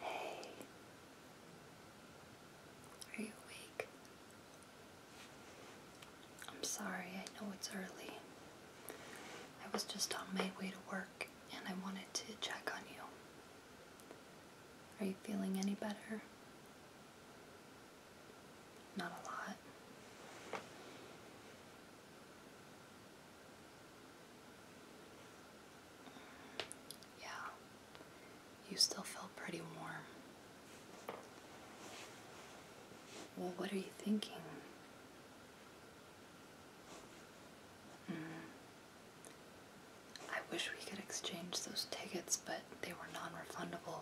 Hey, are you awake? I'm sorry, I know it's early. I was just on my way to work and I wanted to check on you. Are you feeling any better? Not a lot. Yeah, you still feel pretty warm. Well, what are you thinking? Mm. I wish we could exchange those tickets, but they were non refundable.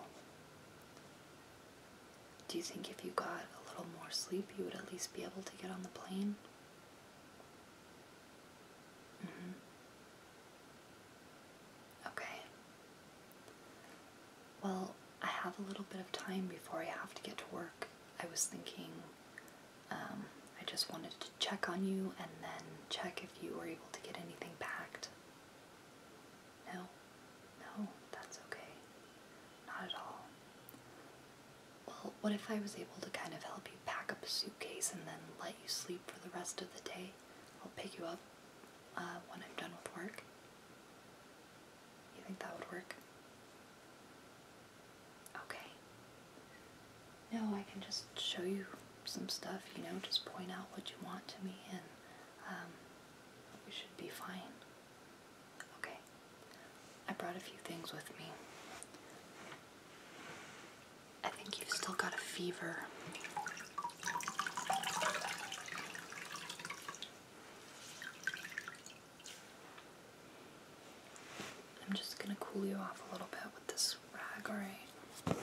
Do you think if you got a little more sleep, you would at least be able to get on the plane? Mm-hmm. Okay. Well, I have a little bit of time before I have to get to work. I was thinking um, I just wanted to check on you and then check if you were able to get anything packed. No, no, that's okay. Not at all. Well, what if I was able to kind of help you pack up a suitcase and then let you sleep for the rest of the day? I'll pick you up uh, when I'm done with work. You think that would work? Okay. No, I can just show you some stuff, you know, just point out what you want to me and um, we should be fine. Okay. I brought a few things with me. I think you've still got a fever. I'm just gonna cool you off a little bit with this rag, alright?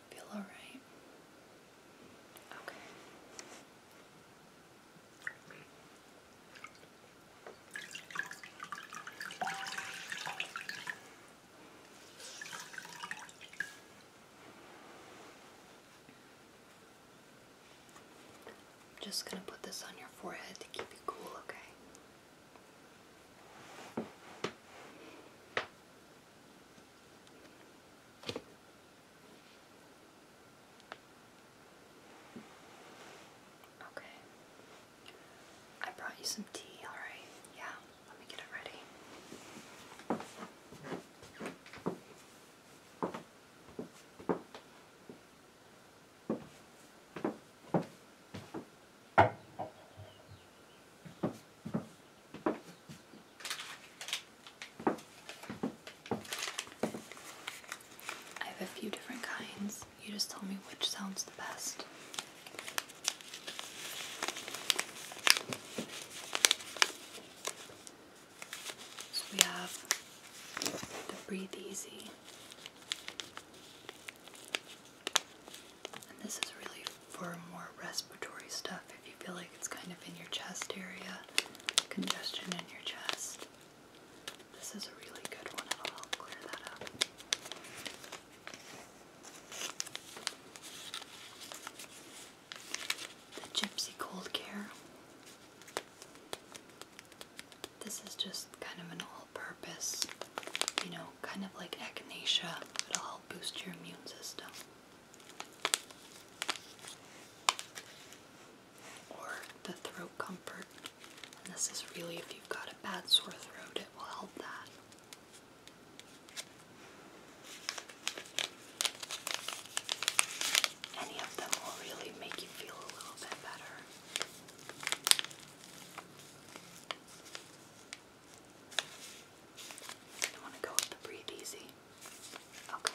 that feel alright? Okay. I'm just going to put this on your forehead to keep you cool, okay? Okay. I brought you some tea, alright? Yeah, let me get it ready. I have a few different kinds. You just tell me which sounds the best. we have the Breathe Easy. And this is really for more respiratory stuff if you feel like it's kind of in your chest area, congestion in your chest. This is a really good one, it'll clear that up. The Gypsy Cold Care. This is just kind of an all purpose, you know, kind of like echinacea. It'll boost your immune system. Or the throat comfort. this is really if you've got a bad sore throat, it will help that. Any of them will really make you feel a little bit better. I don't want to go with the breathe easy. Okay.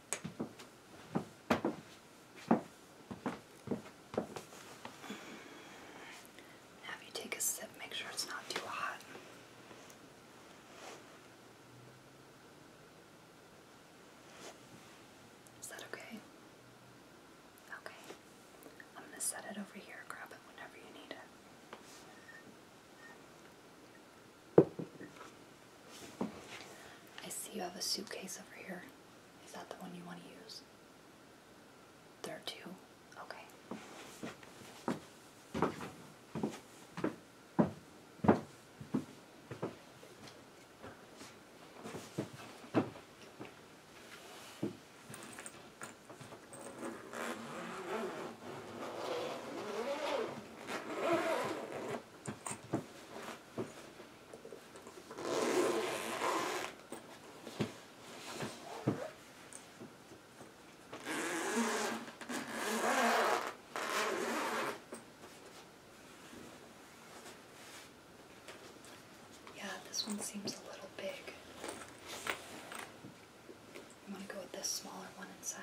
Now, you take a sip, make sure it's not too hot. Is that okay? Okay. I'm going to set it over here. Grab it whenever you need it. I see you have a suitcase over here. Is that the one you want to use? There are two? Okay. Yeah, this one seems a little big. i want to go with this smaller one inside.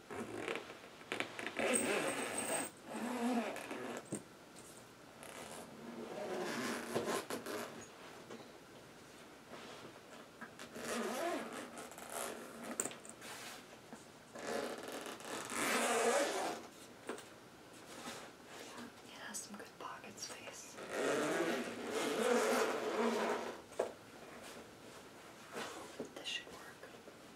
It has some good pocket space. This should work.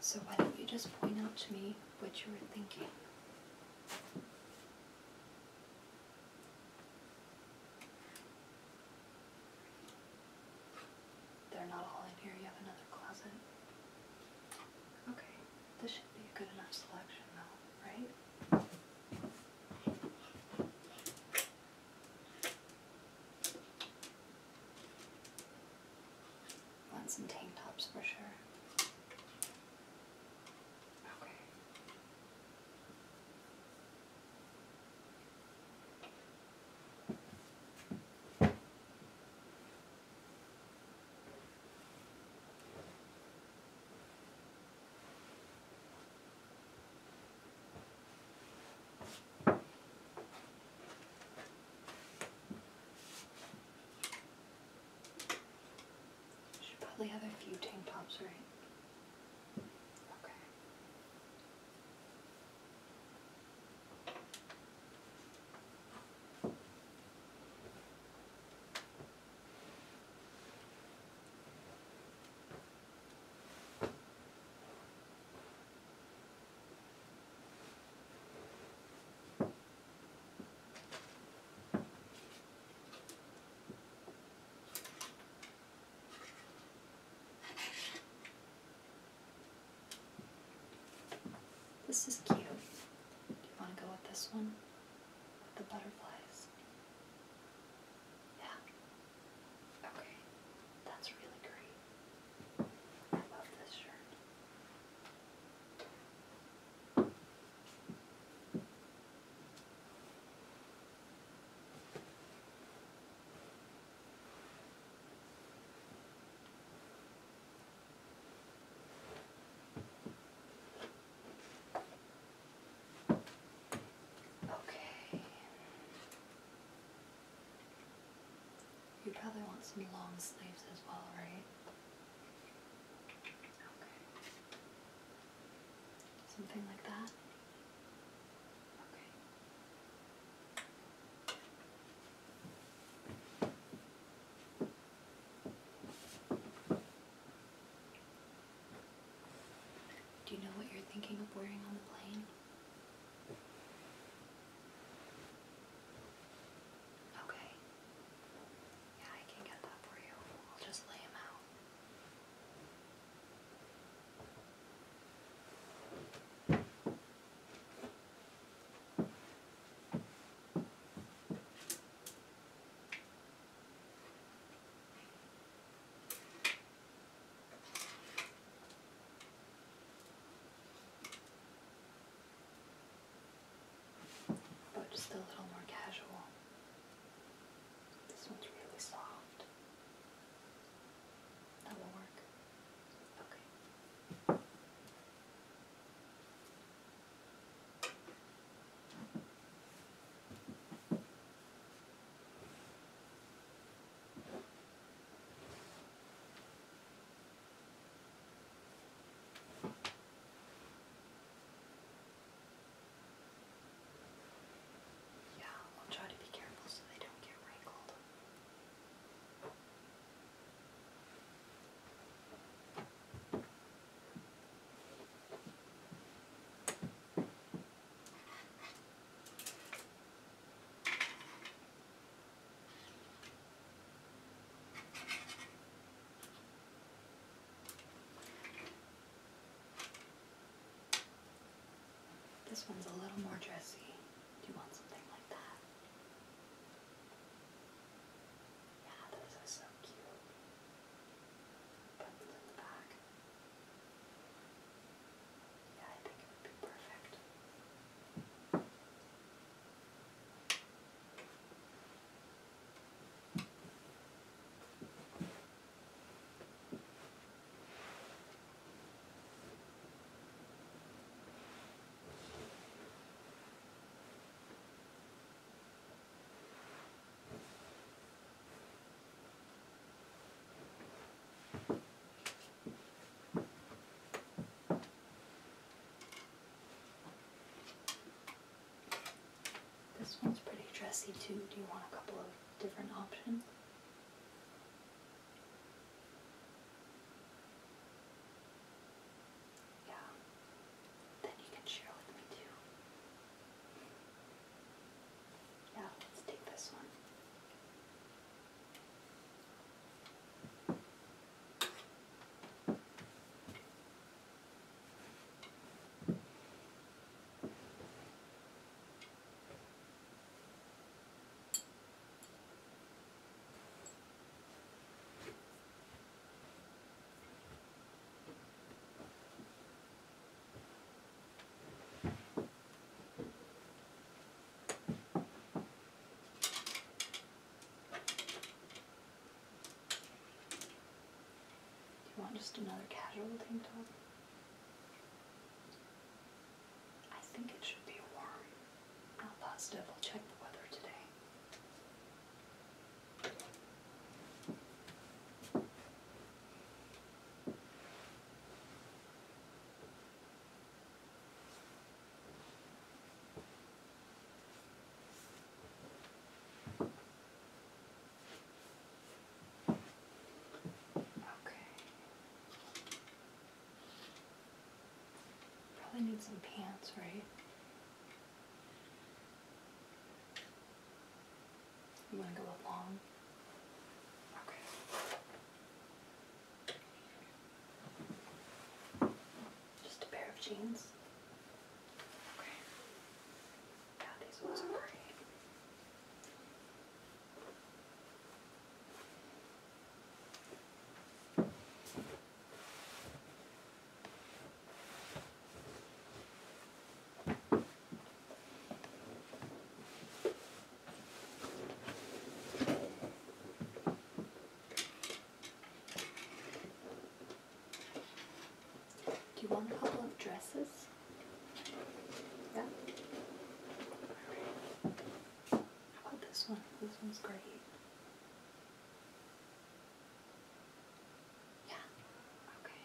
So why don't you just point out to me what you were thinking? They're not all in here. You have another closet. Okay. This should be a good enough selection though, right? Want some tank tops for sure. Okay. Should probably have a few tank tops, right? Okay. This is cute. Do you want to go with this one? the butterflies. Yeah. Okay. That's really great. I love this shirt. Okay. You probably want some long sleeves as well, right? Okay. Something like that? Okay. Do you know what you're thinking of wearing on the plane? Okay. Yeah, I can get that for you. I'll just lay them out. Oh, just a little more casual. This one's really soft. That will work. Okay. Yeah, I'll try to be careful so they don't get wrinkled. This one's a little more dressy. Do you want something like that? Yeah, those are so cute. Buttons in the back. Yeah, I think it would be perfect. This one's pretty dressy too. Do you want a couple of different options? yeah, then you can share with me too. Yeah, let's take this one. You want just another casual tank top? I think it should be warm. Not positive. we will check the weather today. Okay. Probably need some pants, right? You want to go up long? Okay. Just a pair of jeans. Okay. Yeah, these ones are great. Do you want a couple of dresses? Yeah. How about this one? This one's great. Yeah. Okay.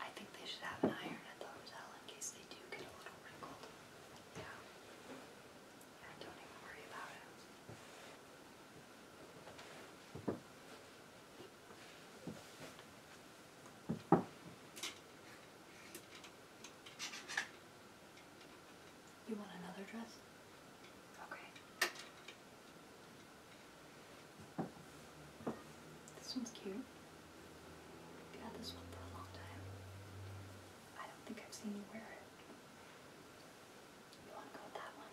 I think they should have an iron at the hotel in case they do get a little wrinkled. Yeah. Yeah, don't even worry about it. You want another dress? Okay. This one's cute. I've had this one for a long time. I don't think I've seen you wear it. You want to go with that one?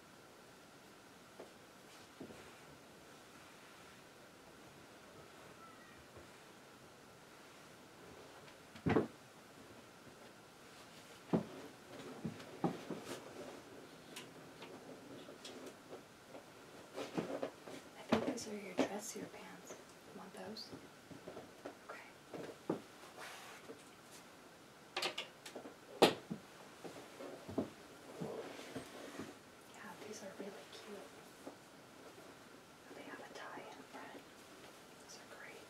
I think those are your dressier pants. You want those? Okay. Yeah, these are really cute. They have a tie in front. These are great.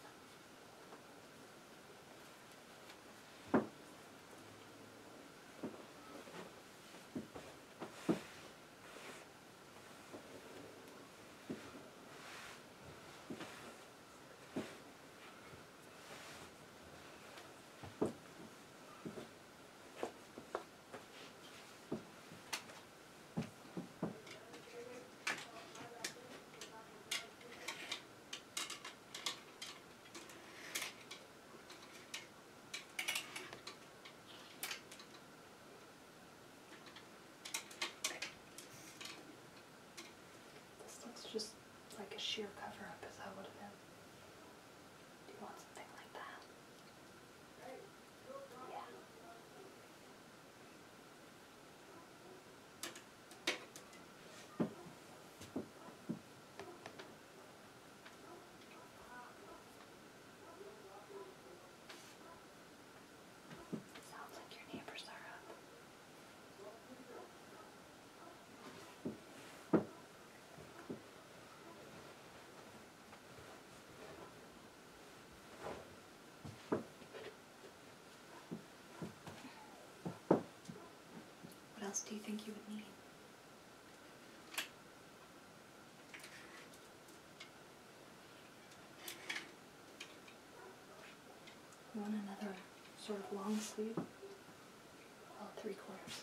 This looks just like a sheer cover up, as I would have been. Do you want something like that? Yeah. Sounds like your neighbors are up. What else do you think you would need? One another sort of long sleeve? Well, three quarters.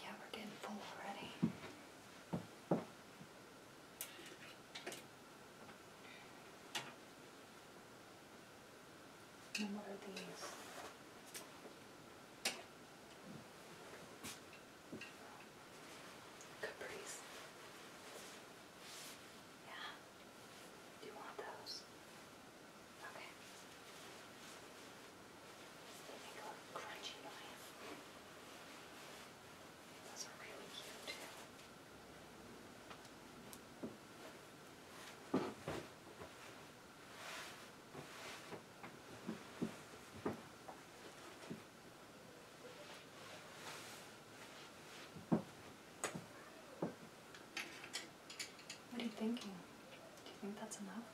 Yeah, we're getting full already. And what are these? Capris. Yeah. Do you want those? Okay. They make a crunchy Those are really cute what are you thinking? Do you think that's enough?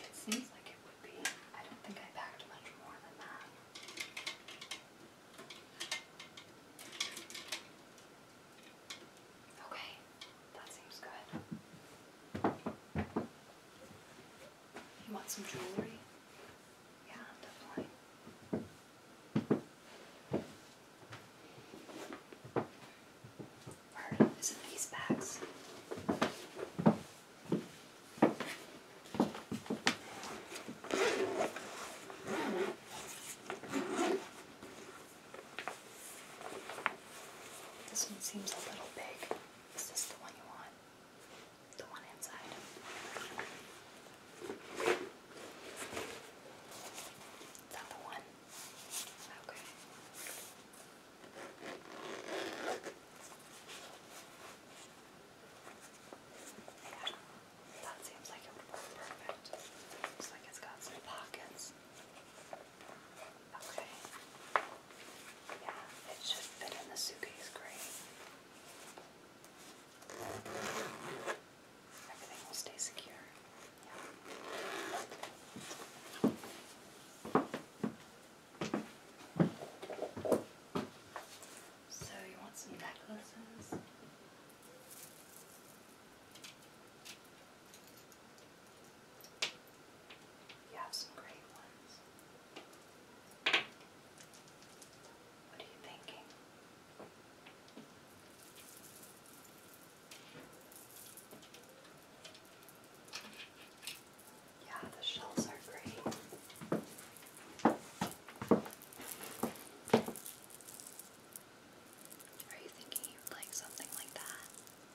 It seems like it would be. I don't think I packed much more than that. Okay, that seems good. You want some jewelry? Yeah, definitely. Where is it these bags? This one seems a little big. Is this the one you want? The one inside? Is that the one? Okay. Yeah, that seems like it would work perfect. Looks like it's got some pockets. Okay. Yeah, it should fit in the suitcase great. Everything will stay secure. So you want some necklaces? You have some great ones. What are you thinking? Yeah, the shells are great. Are you thinking you'd like something like that?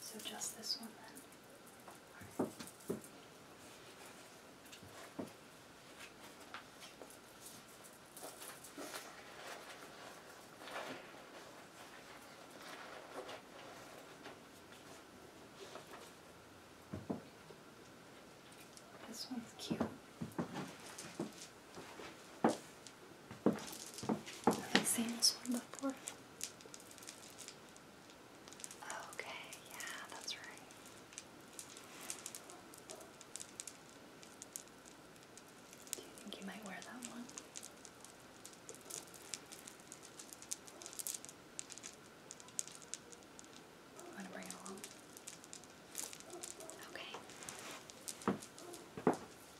So just this one then. This one's cute. Have I seen this one before? Okay, yeah, that's right. Do you think you might wear that one? I'm to bring it along. Okay.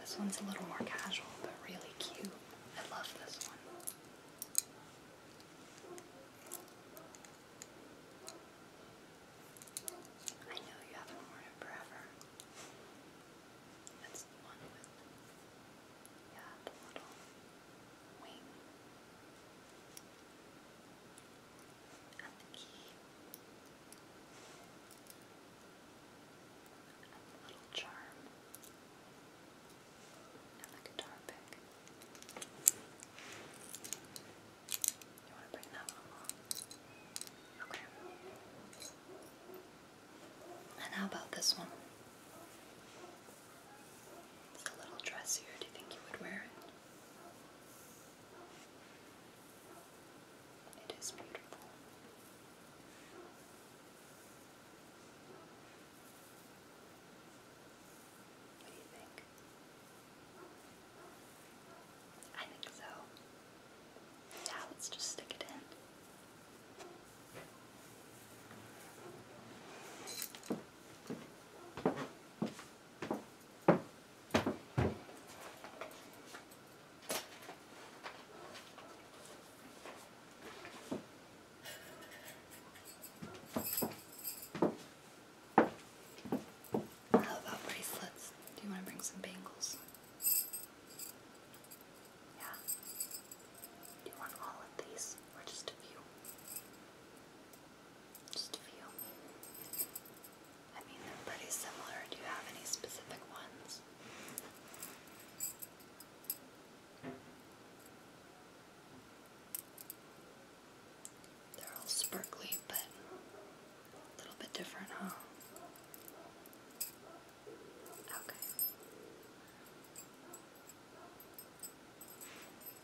This one's a little more casual, but really cute. I love this one. I know you haven't worn it forever. That's the one with, yeah, the little wing. And the key and little charm and the guitar pick. You want to bring that along? Okay. And how about this one? It's a little dressier. Do you think you would wear it? It is beautiful. What do you think? I think so. yeah, let's just stick it in. How about bracelets? Do you want to bring some bangles? Yeah. Do you want all of these or just a few? Just a few. I mean, they're pretty similar. Do you have any specific ones? They're all sparkly, but a little bit different, huh? Okay.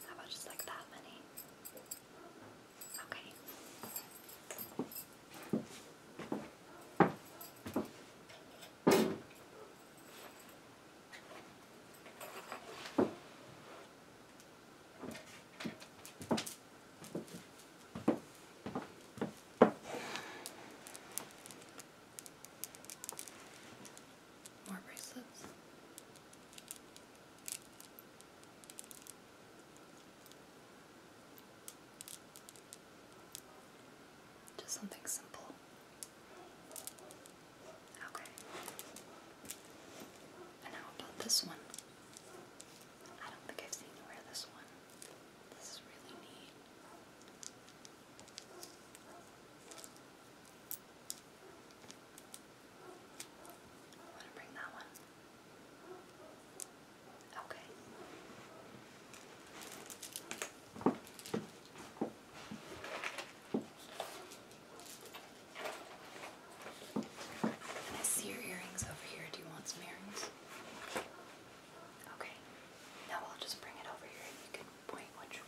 How about just like that many? Okay. More bracelets. Just something simple. Okay. And how about this one? I don't think I've seen you wear this one. This is really neat. I want to bring that one. Okay. I see your earrings over here. Do you want some earrings? Okay. Now I'll just bring it over here you can point what you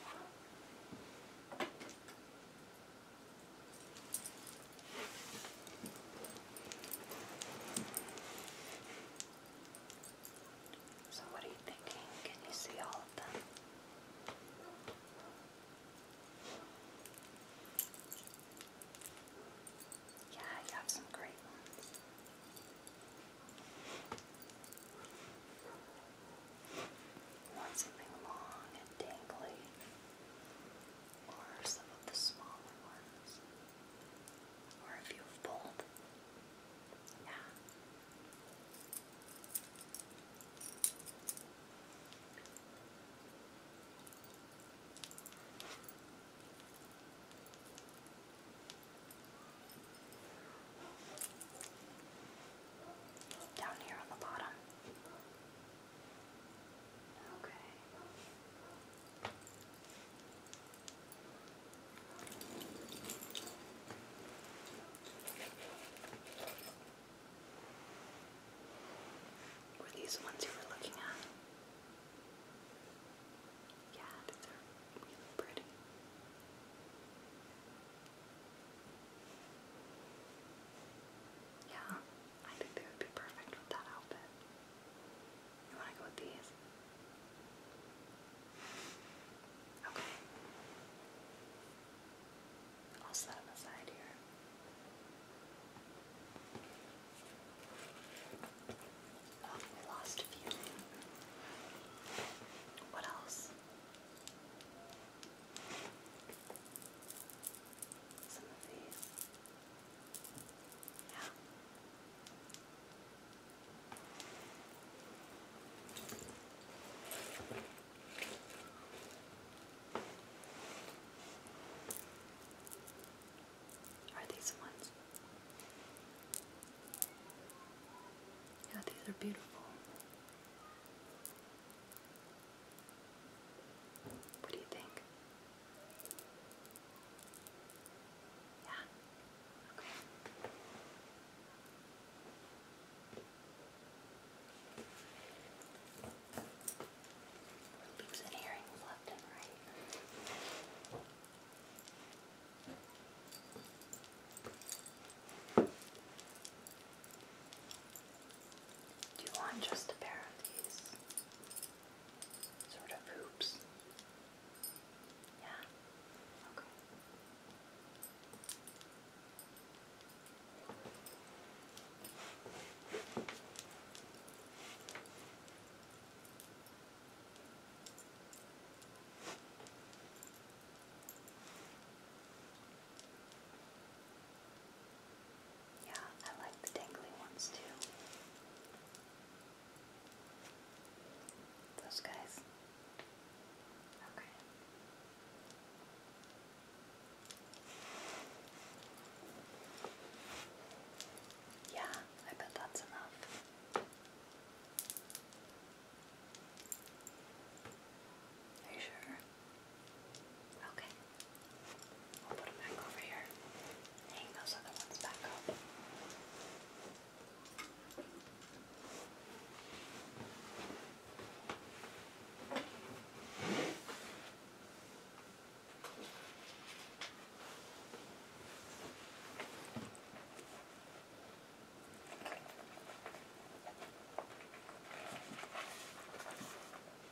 so, what are you thinking? Can you see all of them? Yeah, you have some great ones. want something long and dangly or some of the smaller ones, or if you have both. Yeah. Down here on the bottom. Okay. Were these ones you were looking at? Yeah, these are really pretty. Yeah. I think they would be perfect with that outfit. You want to go with these? Okay. I'll set them aside here. Oh, lost few. What else? Are these ones? Yeah, these are beautiful. What do you think? Yeah? Okay. earrings left and right. Do you want just a pair of these sort of hoops? Yeah? Okay. Yeah, I like the dangly ones too. Those guys. Okay. Yeah, I bet that's enough. Are you sure? Okay. I'll put them back over here. Hang those other ones back up. Okay.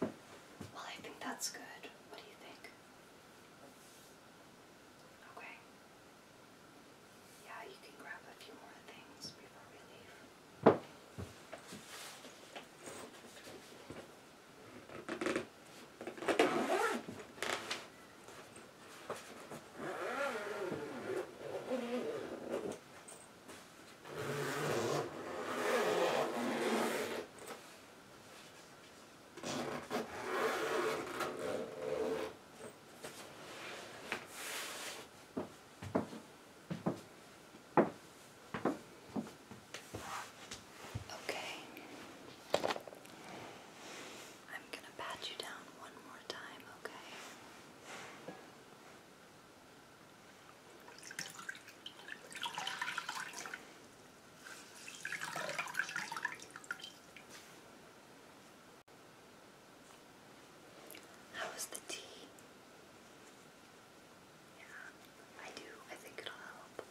Well, I think that's good. What do you think? Okay. Yeah, you can grab a few more things before we leave. Okay. I'm going to pat you down one more time, okay? How is the tea? Yeah, I do. I think it'll help.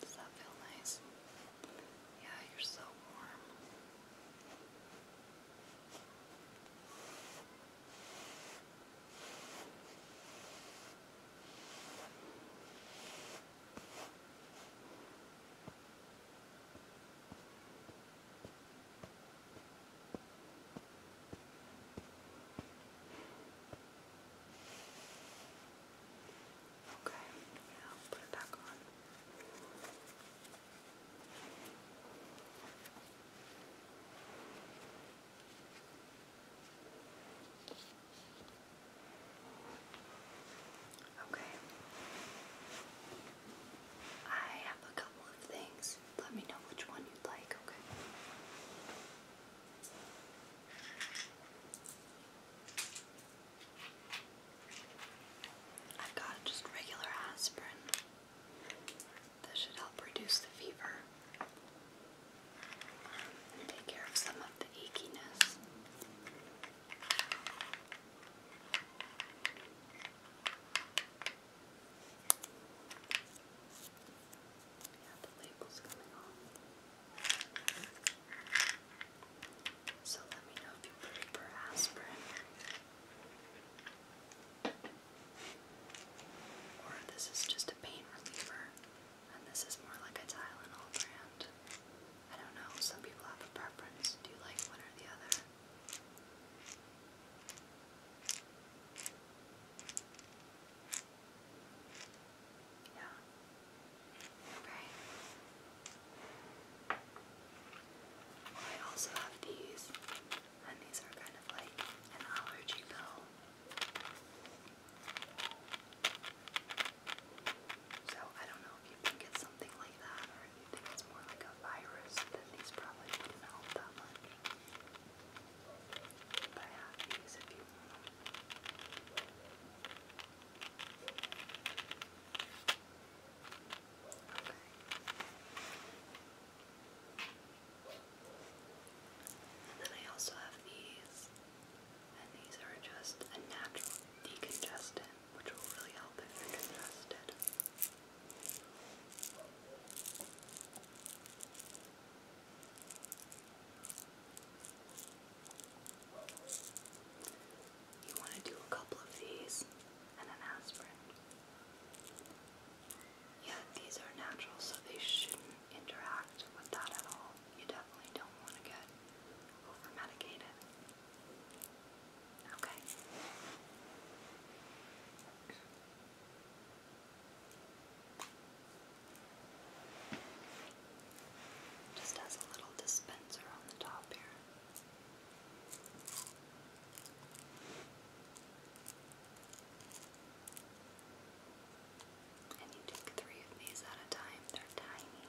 Does that feel nice? Yeah, you're so warm. Good. Okay, now put it back on. Okay. I have a couple of things. Let me know which one you'd like, okay? I've got just regular aspirin. That should help reduce the fever take care of some of the achiness. Yeah, the label's coming off. So let me know if you prefer aspirin or this is just a pain reliever and this is more like a Tylenol brand. I don't know, some people have a preference. Do you like one or the other? Yeah. Okay. I also have these, and these are kind of like an allergy pill. So I don't know you think it's something like that or if you think it's more like a virus, then these probably wouldn't help that much. But I these if you Okay. And then I also have these, and these are just a natural decongestant which will really help if you're congested. You want to do a couple of these and an aspirin. Yeah, these are natural, so they shouldn't interact with that at all. You definitely don't want to get over just has a little dispenser on the top here. And you take three of these at a time, they're tiny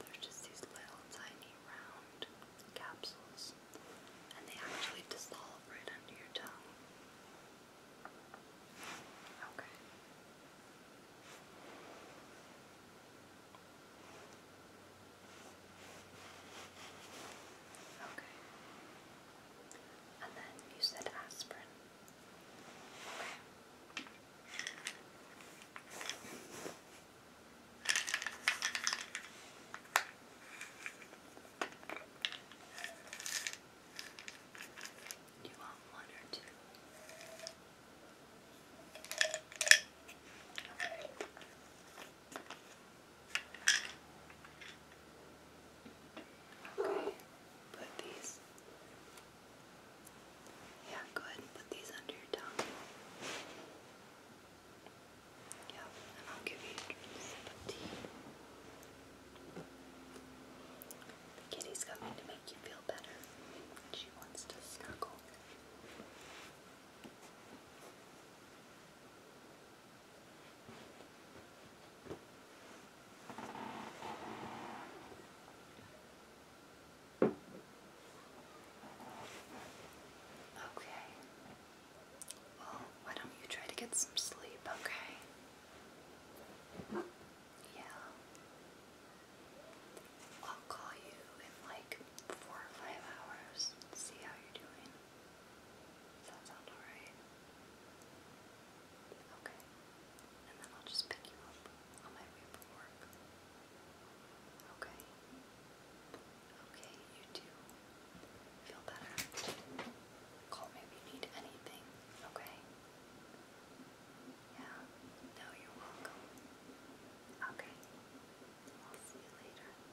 they just these little tiny round capsules, and they actually dissolve right under your tongue. Okay. Okay. And then you said aspirin. Do you want one or two? Okay, put these. Yeah, go ahead and put these under your tongue. Yeah, and I'll give you a tea. The kitty's coming to make you feel better. She wants to snuggle. Okay. Well, why don't you try to get some sleep, okay? Yeah. I'll call you in like four or five hours and see how you're doing. Does that sound alright? Okay. And then I'll just pick you up on my way from work. Okay. Okay, you do. Feel better. Call me if you need anything, okay? Yeah. No, you're welcome. Okay. see you later.